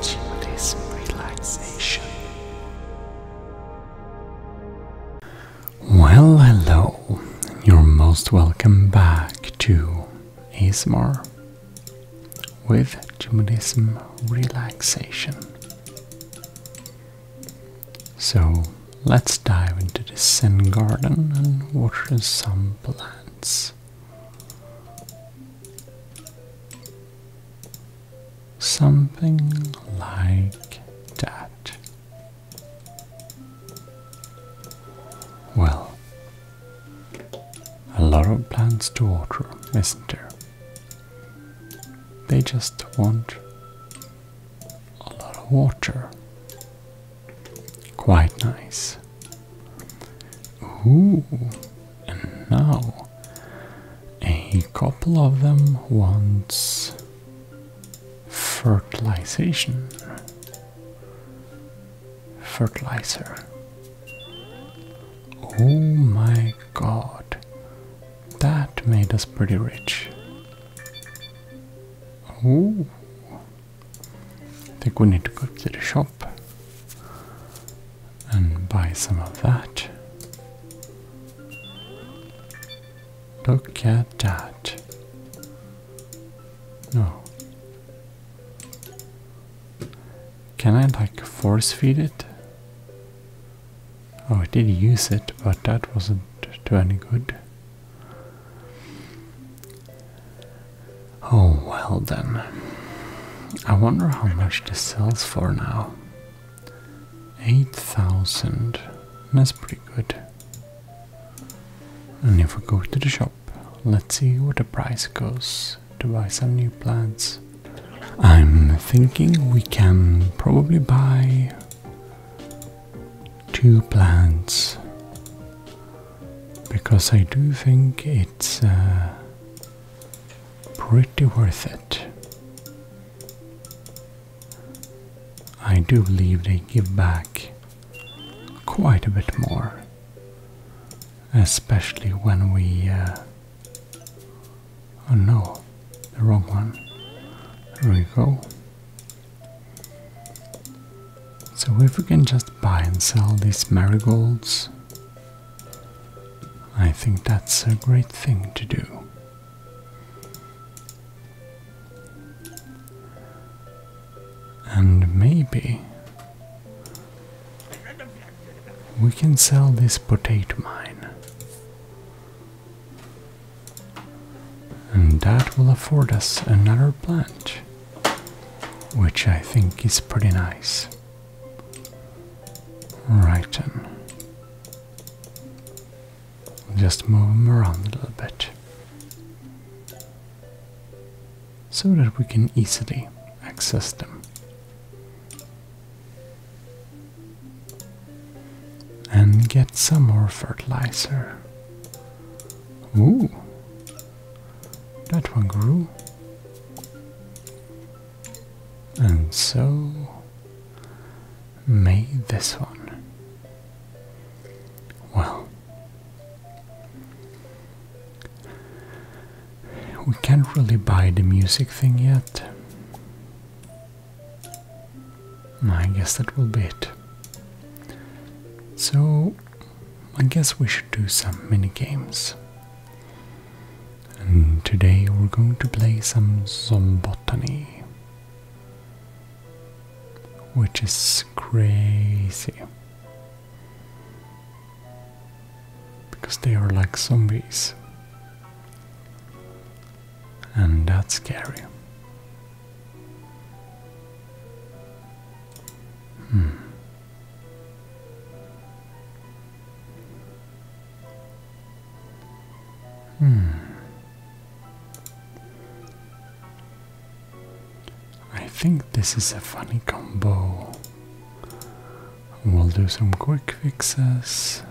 Gently relaxation. Well, hello. You're most welcome back to ASMR with Judaism relaxation. So, Let's dive into the Zen garden and water some plants. Something like that. Well, a lot of plants to water, isn't there? They just want a lot of water. Quite nice. Ooh, and now a couple of them wants fertilization. Fertilizer. Oh my god. That made us pretty rich. Oh, I think we need to go to the shop and buy some of that. Look at that. No. Can I like force feed it? Oh, I did use it, but that wasn't to any good. Oh well then. I wonder how much this sells for now. 8,000. That's pretty good. And if we go to the shop, let's see what the price goes to buy some new plants. I'm thinking we can probably buy two plants because I do think it's uh, pretty worth it. I do believe they give back quite a bit more, especially when we. Uh, oh no, the wrong one. There we go. So if we can just buy and sell these marigolds, I think that's a great thing to do. And maybe we can sell this potato mine. And that will afford us another plant, which I think is pretty nice. Right then. Just move them around a little bit. So that we can easily access them. And get some more fertilizer. Ooh. That one grew. And so made this one. Well, we can't really buy the music thing yet. I guess that will be it. So, I guess we should do some mini games. And today we're going to play some Zombotany. Which is crazy. Because they are like zombies. And that's scary. Hmm. Hmm. I think this is a funny combo. We'll do some quick fixes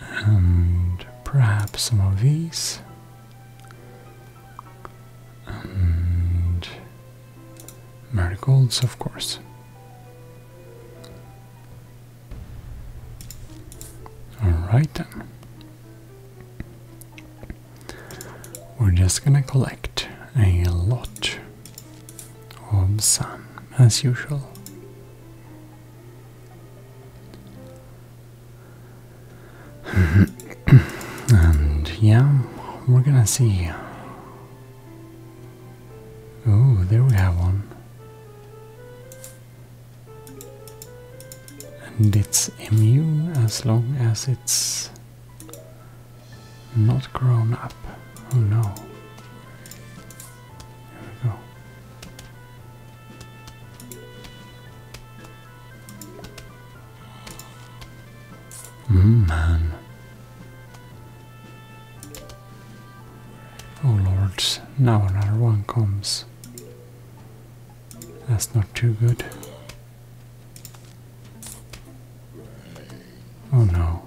and perhaps some of these and marigolds of course alright we're just gonna collect a lot of sun as usual and yeah, we're gonna see. Oh, there we have one. And it's immune as long as it's not grown up. Oh no. There we go. man. Oh lords, now another one comes. That's not too good. Oh no.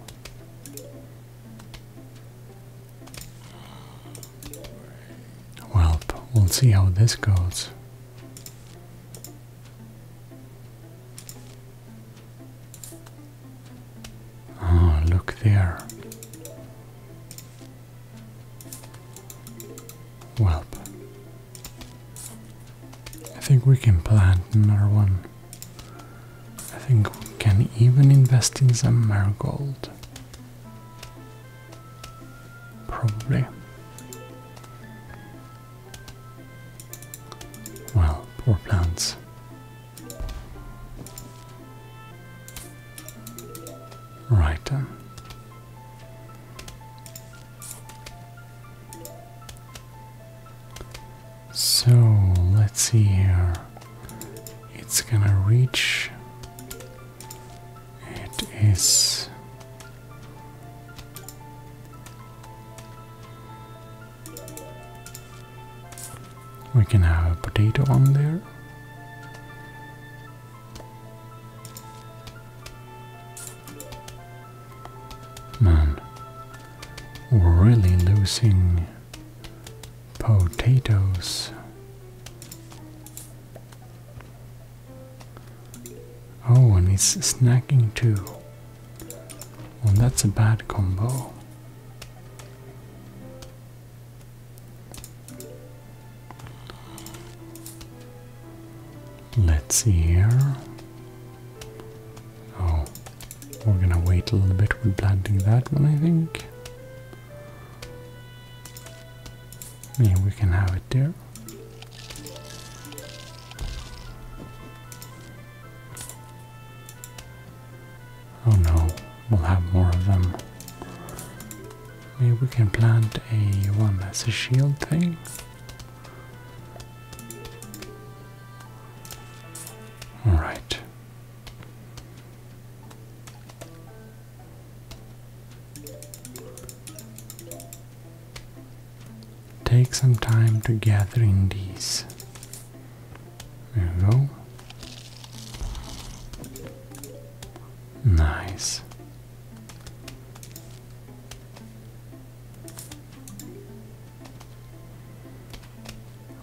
Well, we'll see how this goes. Oh, look there. Well, I think we can plant another one. I think we can even invest in some marigold. Probably. Well, poor plants. Right um. So let's see here it's gonna reach. It is. We can have a potato on there. Man, really losing Potatoes. Oh, and it's snacking too. Well, that's a bad combo. Let's see here. Oh, we're gonna wait a little bit with planting that one, I think. Yeah, we can have it there. Oh no, we'll have more of them. Maybe we can plant a one as shield thing. Alright. Take some time to gather in these. There we go. Nice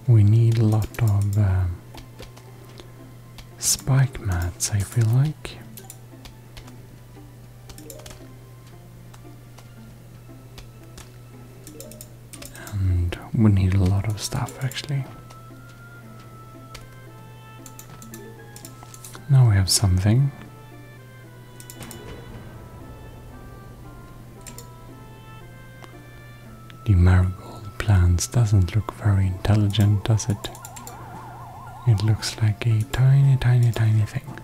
we need a lot of um, spike mats, I feel like. And we need a lot of stuff actually. Now we have something. The marigold plants doesn't look very intelligent, does it? It looks like a tiny, tiny, tiny thing.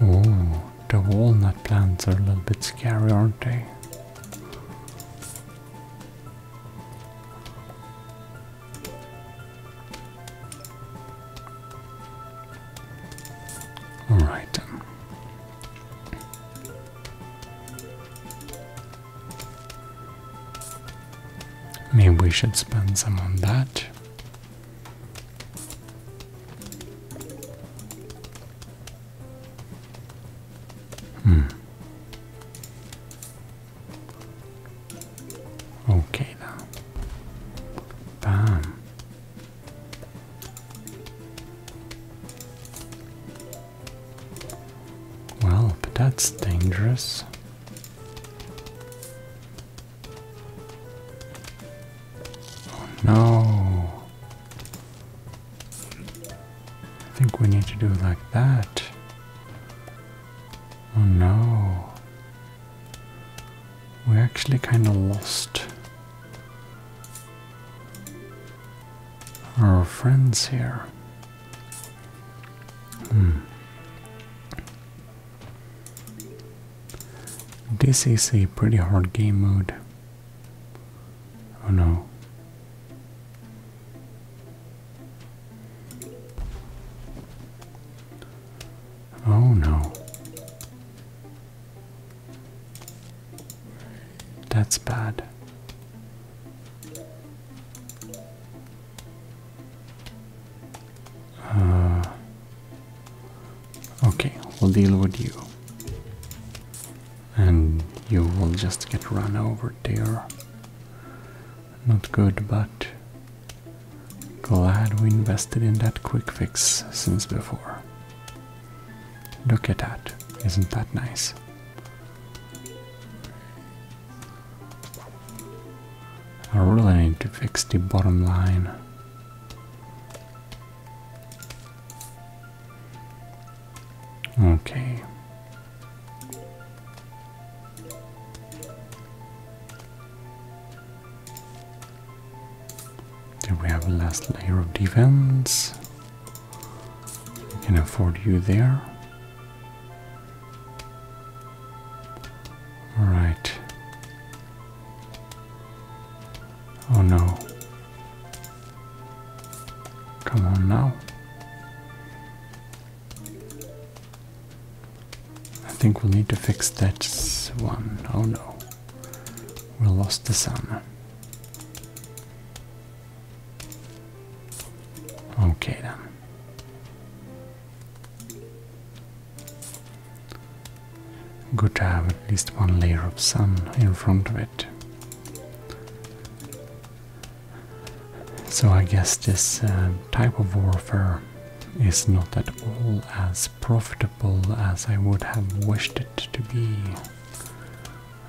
Oh, the walnut plants are a little bit scary, aren't they? All right. Um. Maybe we should spend some on that. Hmm. Okay, now. Bam. Well, but that's dangerous. Oh no. I think we need to do like that. Oh no we actually kind of lost. Our friends here. Hmm. This is a pretty hard game mode. Oh no. Oh no. That's bad. Uh, okay, we'll deal with you. And you will just get run over there. Not good, but glad we invested in that quick fix since before. Look at that. Isn't that nice? I really need to fix the bottom line. Okay. Then we have a last layer of defense. We can afford you there. Alright. Oh no. Come on now. I think we'll need to fix that one. Oh no we lost the sun. Okay then. Good to have at least one layer of sun in front of it. So I guess this uh, type of warfare is not at all as profitable as I would have wished it to be.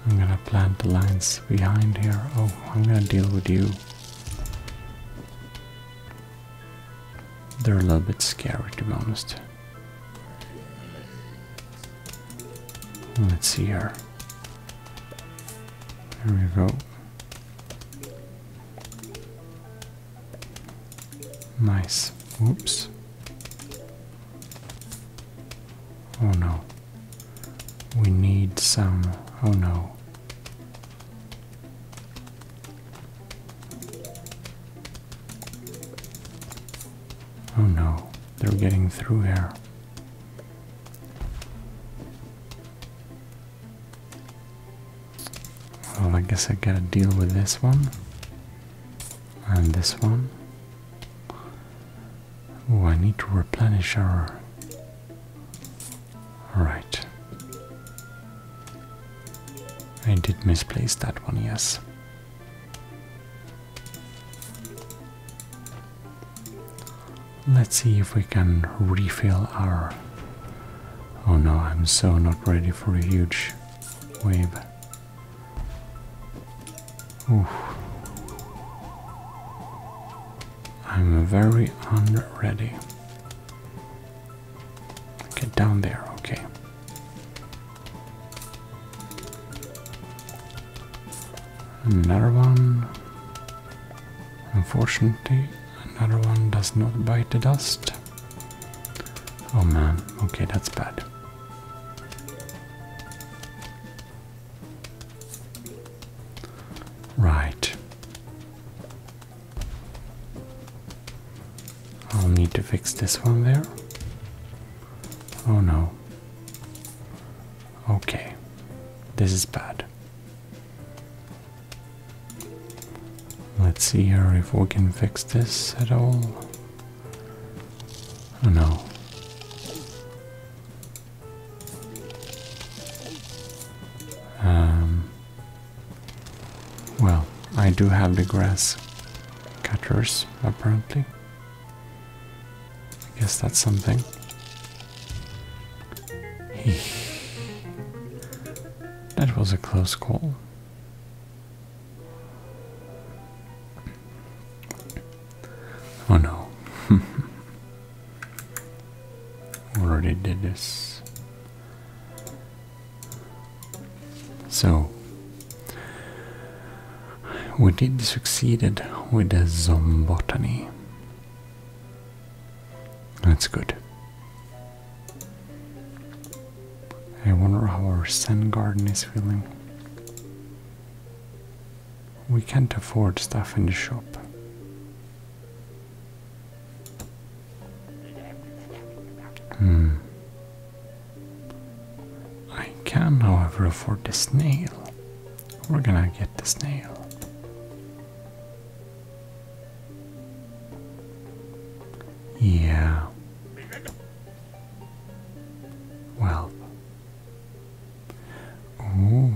I'm gonna plant the lines behind here. Oh, I'm gonna deal with you. They're a little bit scary to be honest. Let's see here. There we go. Nice. Oops. Oh no. We need some. Oh no. Oh no. They're getting through here. Well, I guess I gotta deal with this one. And this one. Oh, I need to replenish our. Right. I did misplace that one, yes. Let's see if we can refill our. Oh no, I'm so not ready for a huge wave. I'm very unready. Get down there, okay. Another one. Unfortunately, another one does not bite the dust. Oh man, okay, that's bad. Right. I'll need to fix this one there. Oh no. Okay, this is bad. Let's see here if we can fix this at all. Oh no. Um, well, I do have the grass cutters, apparently. I guess that's something. that was a close call. Oh no. We Already did this. So we did succeeded with the zombotany. That's good. I wonder how our Sun garden is feeling. We can't afford stuff in the shop. Hmm. I can, however, afford the snail. We're gonna get the snail. Yeah. Well. Ooh.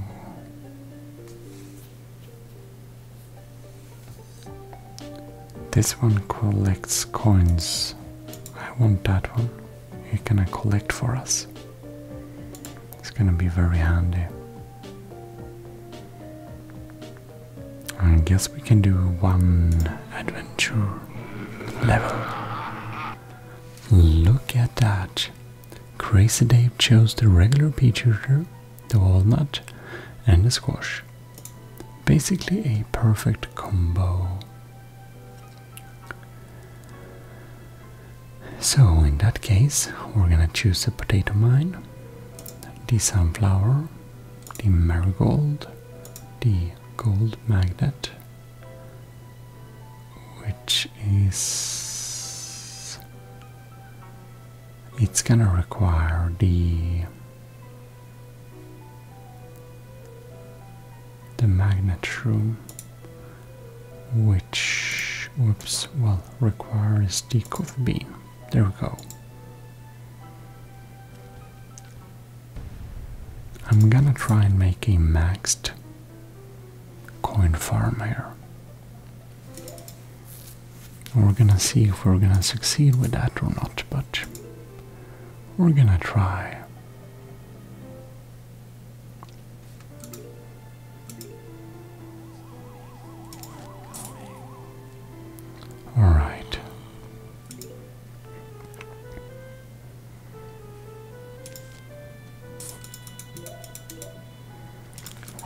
This one collects coins. I want that one. You're gonna collect for us. It's gonna be very handy. I guess we can do one adventure level. Look at that. Crazy Dave chose the regular peach shooter, the walnut, and the squash. Basically a perfect combo. So in that case, we're gonna choose the potato mine, the sunflower, the marigold, the gold magnet, which is it's gonna require the the magnet room which whoops well requires the coffee beam. There we go. I'm gonna try and make a maxed coin farm here. We're gonna see if we're gonna succeed with that or not, but we're gonna try. Alright.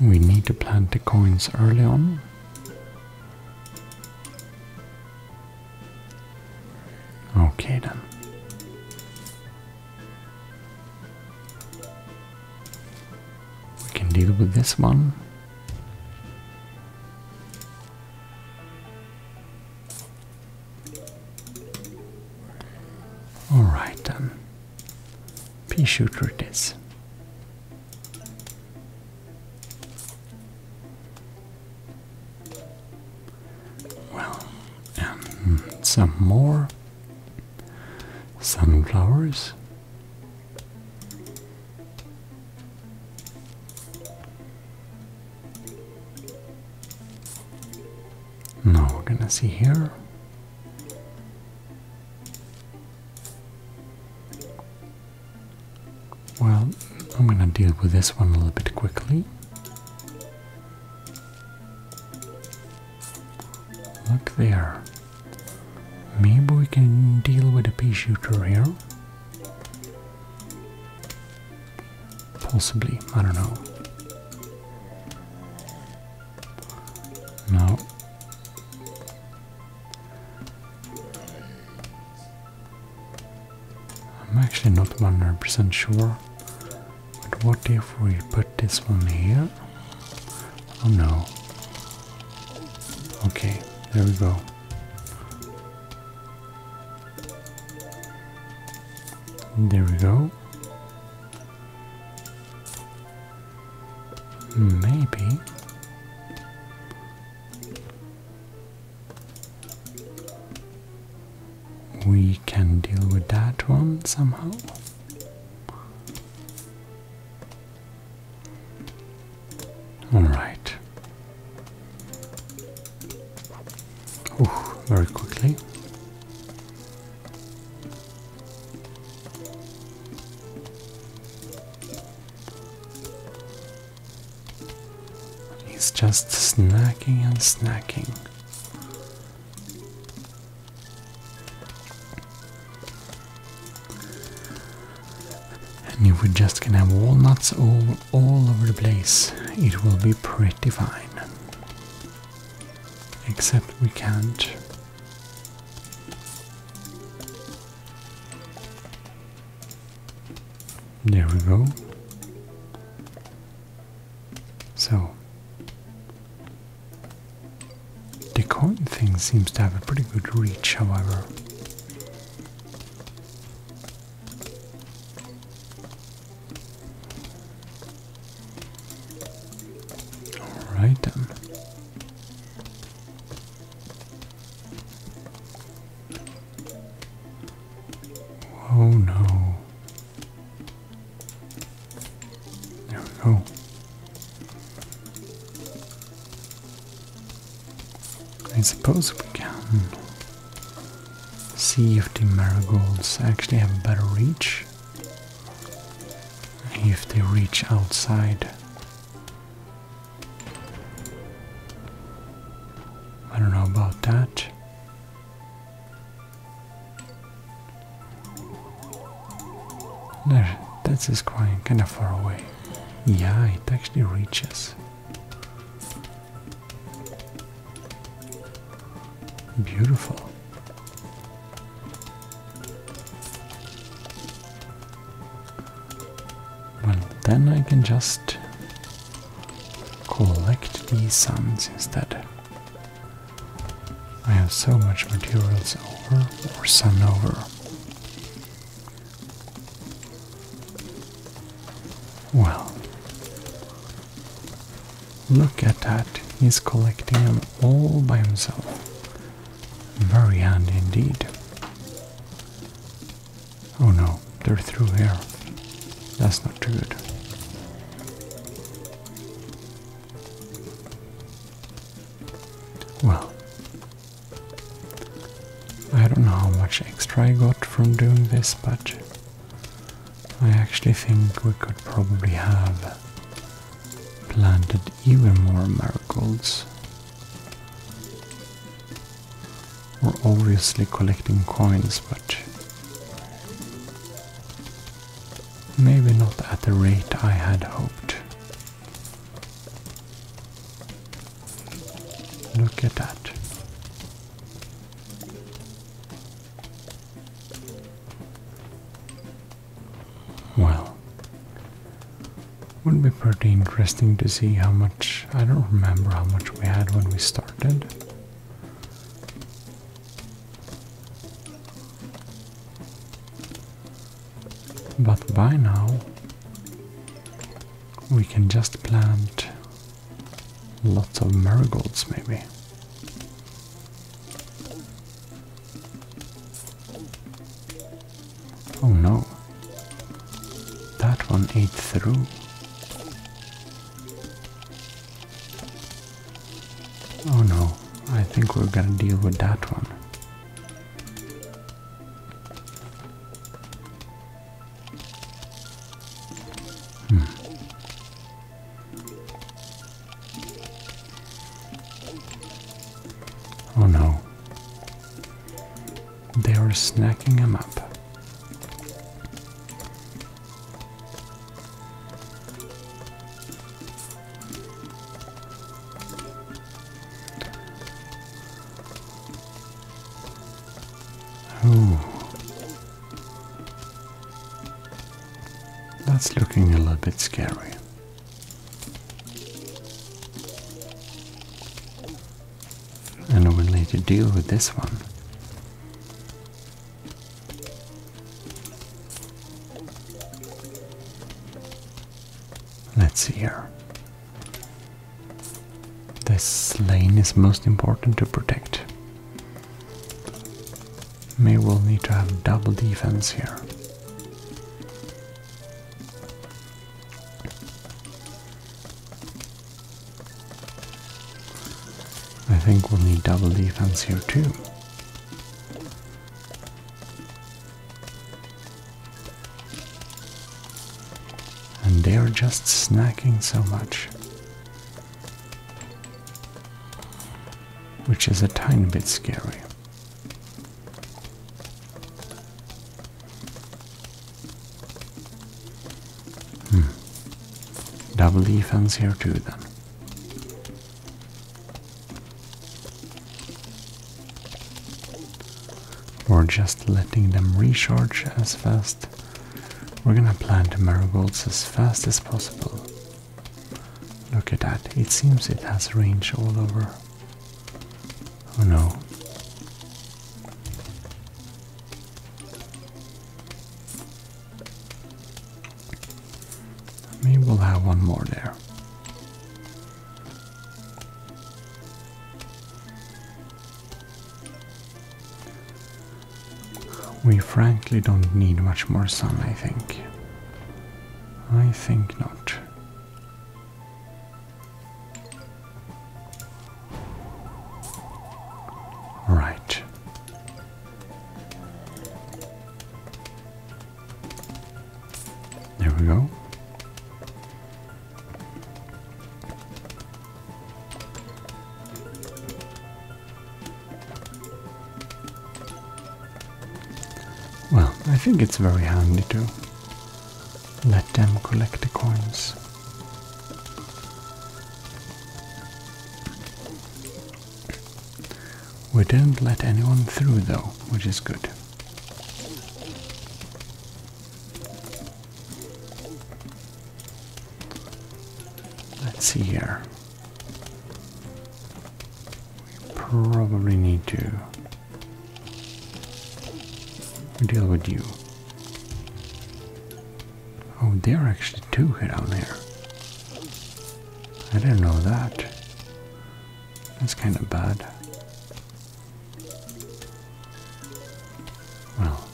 We need to plant the coins early on. Okay then. We can deal with this one. Alright then. Pea shooter it is. Well, some more sunflowers. Now we're gonna see here. Well, I'm gonna deal with this one a little bit quickly. Look there. Maybe we can deal with a pea shooter here. Possibly, I don't know. No. I'm actually not 100% sure. But what if we put this one here? Oh no. Okay, there we go. There we go. Maybe. We can deal with that one somehow. All right. very quickly. He's just snacking and snacking. And if we just can have walnuts all, all over the place, it will be pretty fine. Except we can't. There we go. So. The coin thing seems to have a pretty good reach, however. All right then. Um. Oh no. There we go. I suppose we can see if the marigolds actually have better reach. If they reach outside. I don't know about that. There, this is quite kind of far away. Yeah, it actually reaches. Beautiful. Well, then I can just collect these suns instead. I have so much materials over or sun over. Well, look at that. He's collecting them all by himself. Very handy indeed. Oh no, they're through here. That's not too good. Well, I don't know how much extra I got from doing this, but I actually think we could probably have planted even more marigolds. or obviously collecting coins, but maybe not at the rate I had hoped. Look at that. Well, would be pretty interesting to see how much. I don't remember how much we had when we started. But by now, we can just plant lots of marigolds, maybe. Oh no, that one ate through. Oh no, I think we're gonna deal with that one. Hmm. Oh no. They are snacking him up. Oh. That's looking a little bit scary. I And we need to deal with this one. Let's see here. This lane is most important to protect. May we will need to have double defense here. I think we'll need double defense here too. And they are just snacking so much. Which is a tiny bit scary. Hmm. Double defense here too then. We're just letting them recharge as fast. We're gonna plant the marigolds as fast as possible. Look at that, it seems it has range all over. Oh no. Maybe we'll have one more there. We frankly don't need much more sun, I think. I think not. Right. There we go. Well, I think it's very handy to let them collect the coins. We didn't let anyone through though, which is good. Let's see here. We Probably need to deal with you. Oh, there are actually two down there. I didn't know that. That's kind of bad. Well,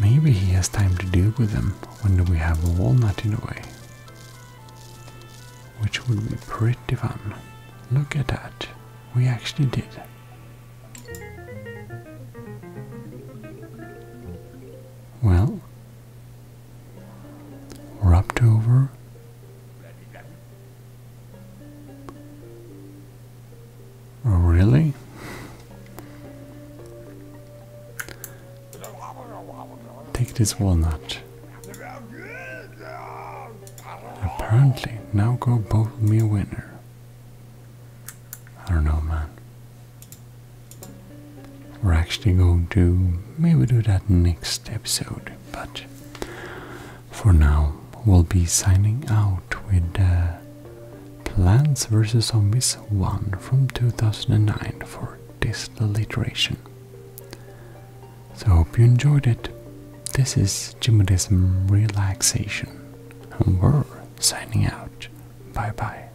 maybe he has time to deal with them when do we have a walnut in a way, which would be pretty fun. Look at that, we actually did. Well, rubbed over. Oh, really? Take this walnut. Apparently, now go bowl me a winner. I don't know, man. We're actually going to maybe do that next episode, but for now we'll be signing out with uh, Plants vs. Zombies 1 from 2009 for this iteration. So hope you enjoyed it. This is Jimodism Relaxation, and we're signing out. Bye bye.